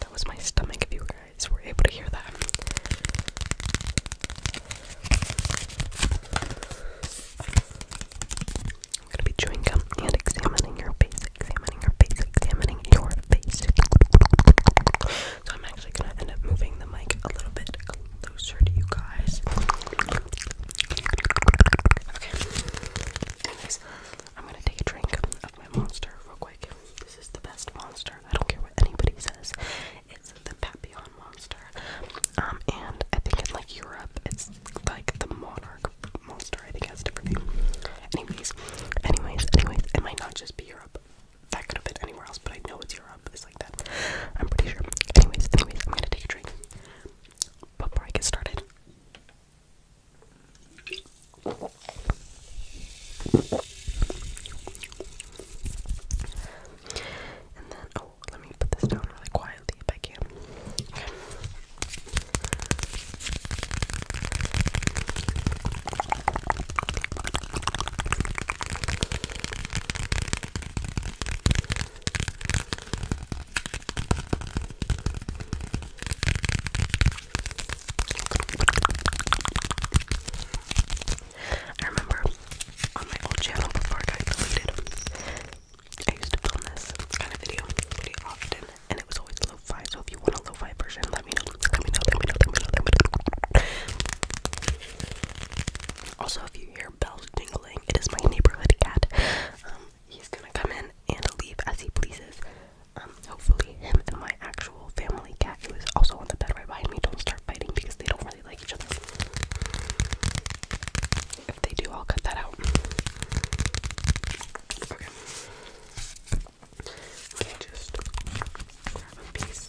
That was my stomach, if you guys were able to hear that. I'm gonna be chewing gum and examining your face, examining your face, examining your face. So I'm actually gonna end up moving the mic a little bit closer to you guys. Okay. Anyways, I'm gonna take a drink of my monster real quick. This is the best monster. I don't care what anybody says. It's the Papillon monster. Um, and I think in like Europe, it's like the monarch monster. I think it has a different name. Anyways, anyways, anyways, it might not just be Europe. That could have been anywhere else, but I know it's Europe. It's like that. I'm pretty sure. Anyways, anyways, I'm gonna take a drink before I get started. And then, oh, let me put this down really quietly if I can. Okay. I remember on my old channel before it deleted, I used to film this kind of video pretty often, and it was always lo-fi. So if you want a lo-fi version, let me know. Let me know. Let me know. Let me know. Let me know. Also, if you hear bells jingling, it is my neighborhood cat. Um, he's gonna come in and leave as he pleases. Um, hopefully him and my actual family cat who is also on the bed right behind me don't start fighting because they don't really like each other. If they do, I'll cut that out. Okay. just grab piece.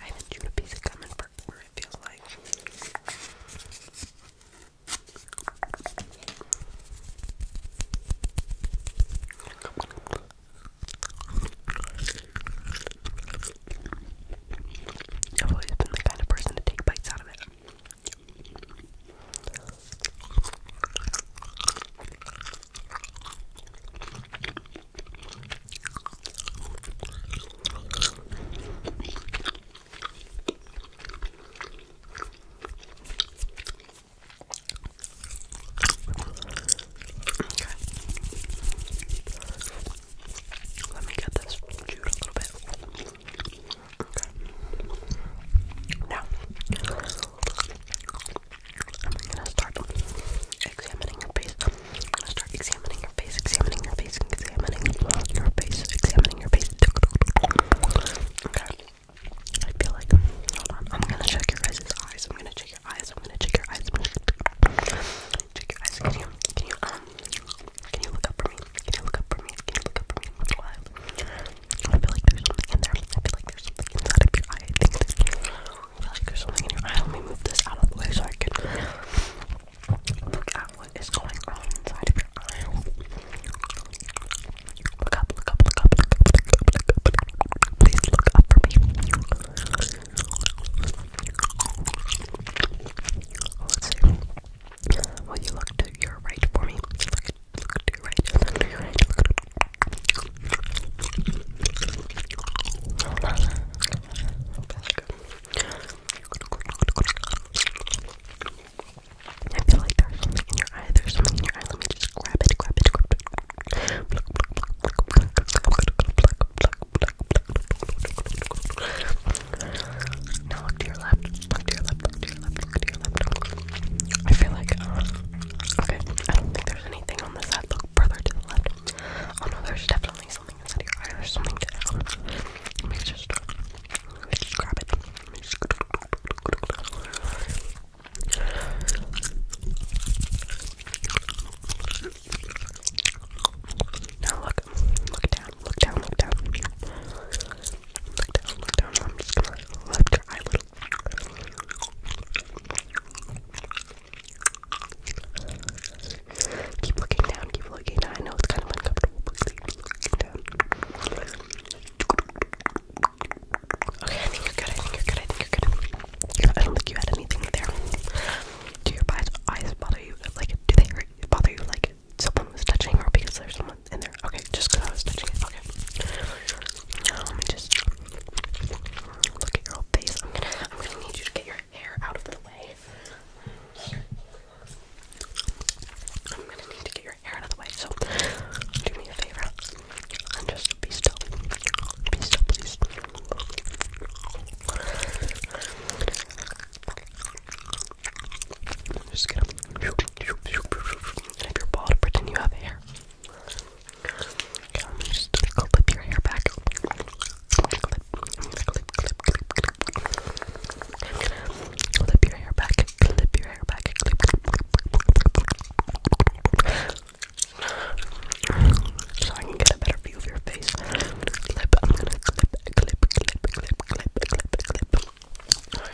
I haven't chewed a piece of gum in forever, it feels like. I've always been the kind of person to take bites out of it. Okay. Let me get this chewed a little bit. Okay. Now, I'm gonna start examining your face. I'm gonna start examining your face, examining your face, examining your face, examining your face. Okay. I feel like, hold on, I'm gonna check your guys' eyes. I'm gonna check your eyes. I'm gonna check your eyes. I'm gonna check your eyes. Can you, can you, um, can you look up for me? Can you look up for me? Can you look up for me? Look I feel like there's something in there. I feel like there's something inside of your eye. I think that I feel like there's something in your eye. Let me move this out of the way so I can look at what is going on inside of your eye. Look up, look up, look up, look up, look up, look up, look up. Please look up for me. Let's see. Will you look to your right for me? Look Look to your right. Look to your right. Hold on. I feel like there's something in your eye. There's something in your eye. Let me just grab it. Grab it. Grab it. Now look to your left. Look to your left. Look to your left look to your left. I feel like, uh, okay, I don't think there's anything on this side. Look further to the left. Oh no, there's definitely something inside your eye. There's something down. Uh, let me just, grab it. Now look, look down, look down, look down. Look down, look down. I'm just Keep looking down, keep looking down. I know it's kind of uncomfortable, Okay, I think you're good, I think you're good, I think you're good. I don't think you had anything there. Do your eyes bother you? Like, do they bother you like someone was touching or because there's someone Okay, just because I was touching it. Okay. just look at your whole face. I'm gonna, need you to get your hair out of the way. I'm gonna need to get your hair out of the way. So do me a favor and just be still. Be still, please. Okay. Just gonna I'm just gonna clip your hair back. Clip, your hair back. Clip your hair back. So I can get a better view of your face. clip. I'm gonna get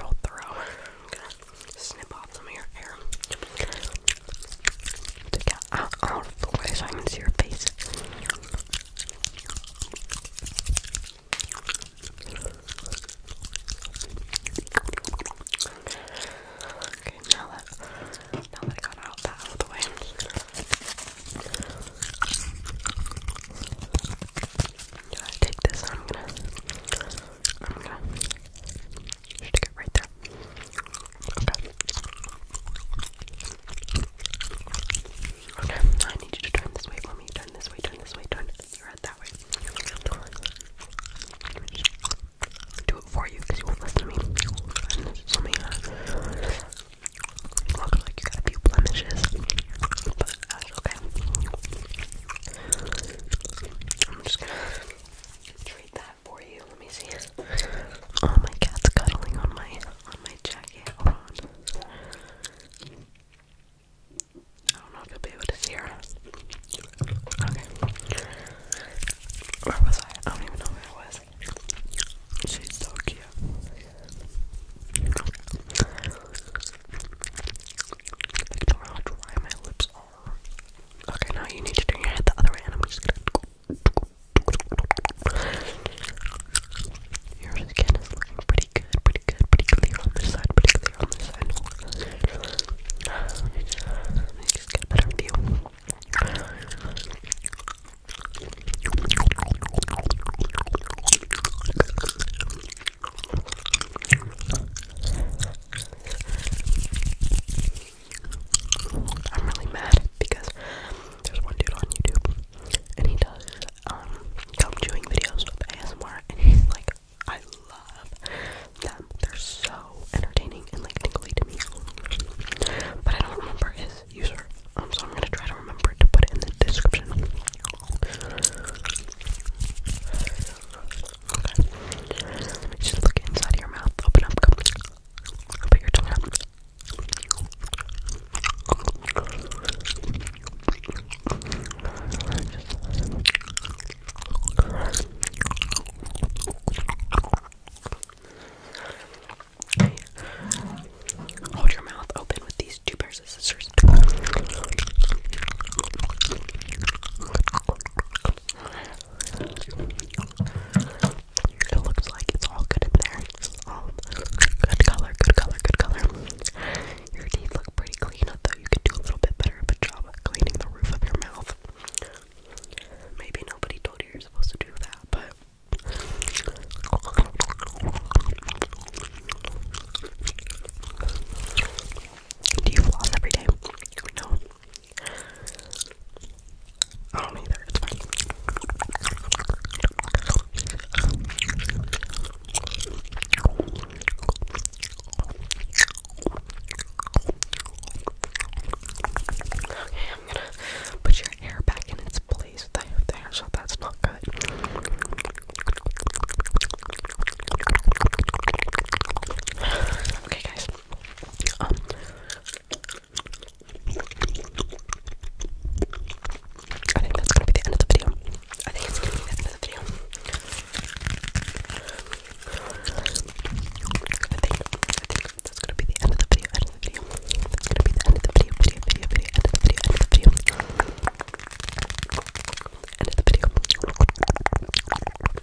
rolled through. I'm gonna snip off some of your hair to get out, out the way I can see your face. Okay, now that now that I got out that out of the way, i take this and I'm gonna I'm gonna stick it right there. Okay. Okay, I need you to turn this way for me. Turn this way, turn this way, turn your head that way. Do it for you because you will me. And me uh, like you got a few blemishes, but that's okay. I'm just gonna treat that for you. Let me see. Oh, my cat's cuddling on my on my jacket. Hold on. I don't know if you'll be able to see Okay. Where was I? I don't even know where I was. She's so cute. I don't know how dry my lips are. Okay, now you need to turn your head the other way, your skin is looking pretty good, pretty good, pretty clear on this side, pretty clear on this side. Let me just, let me just get a better view. I'm really mad because there's one dude on YouTube and he does um gum chewing videos with ASMR and he's like I love them. They're so entertaining and like tingly to me. But I don't remember his user. Um, so I'm gonna try to remember to put it in the description. Okay. Just look inside your mouth, open up, Put your tongue out. Okay. Hold your mouth open with these two pairs of scissors. It looks like it's all good in there. good color, good color, good color. Your teeth look pretty clean, although you could do a little bit better of a job of cleaning the roof of your mouth. Maybe nobody told you you're supposed to do that, but. Do you floss every day? No. I don't either, it's fine. put your hair in its place there, there, so that's not good. Okay, guys. Um, I think that's gonna be the end of the video. I think it's gonna be the end of the video. I think, I think that's gonna be the end of the video, end of the video. That's gonna be the end of the video, video, video, video, end of the video, end of the video. End of the video.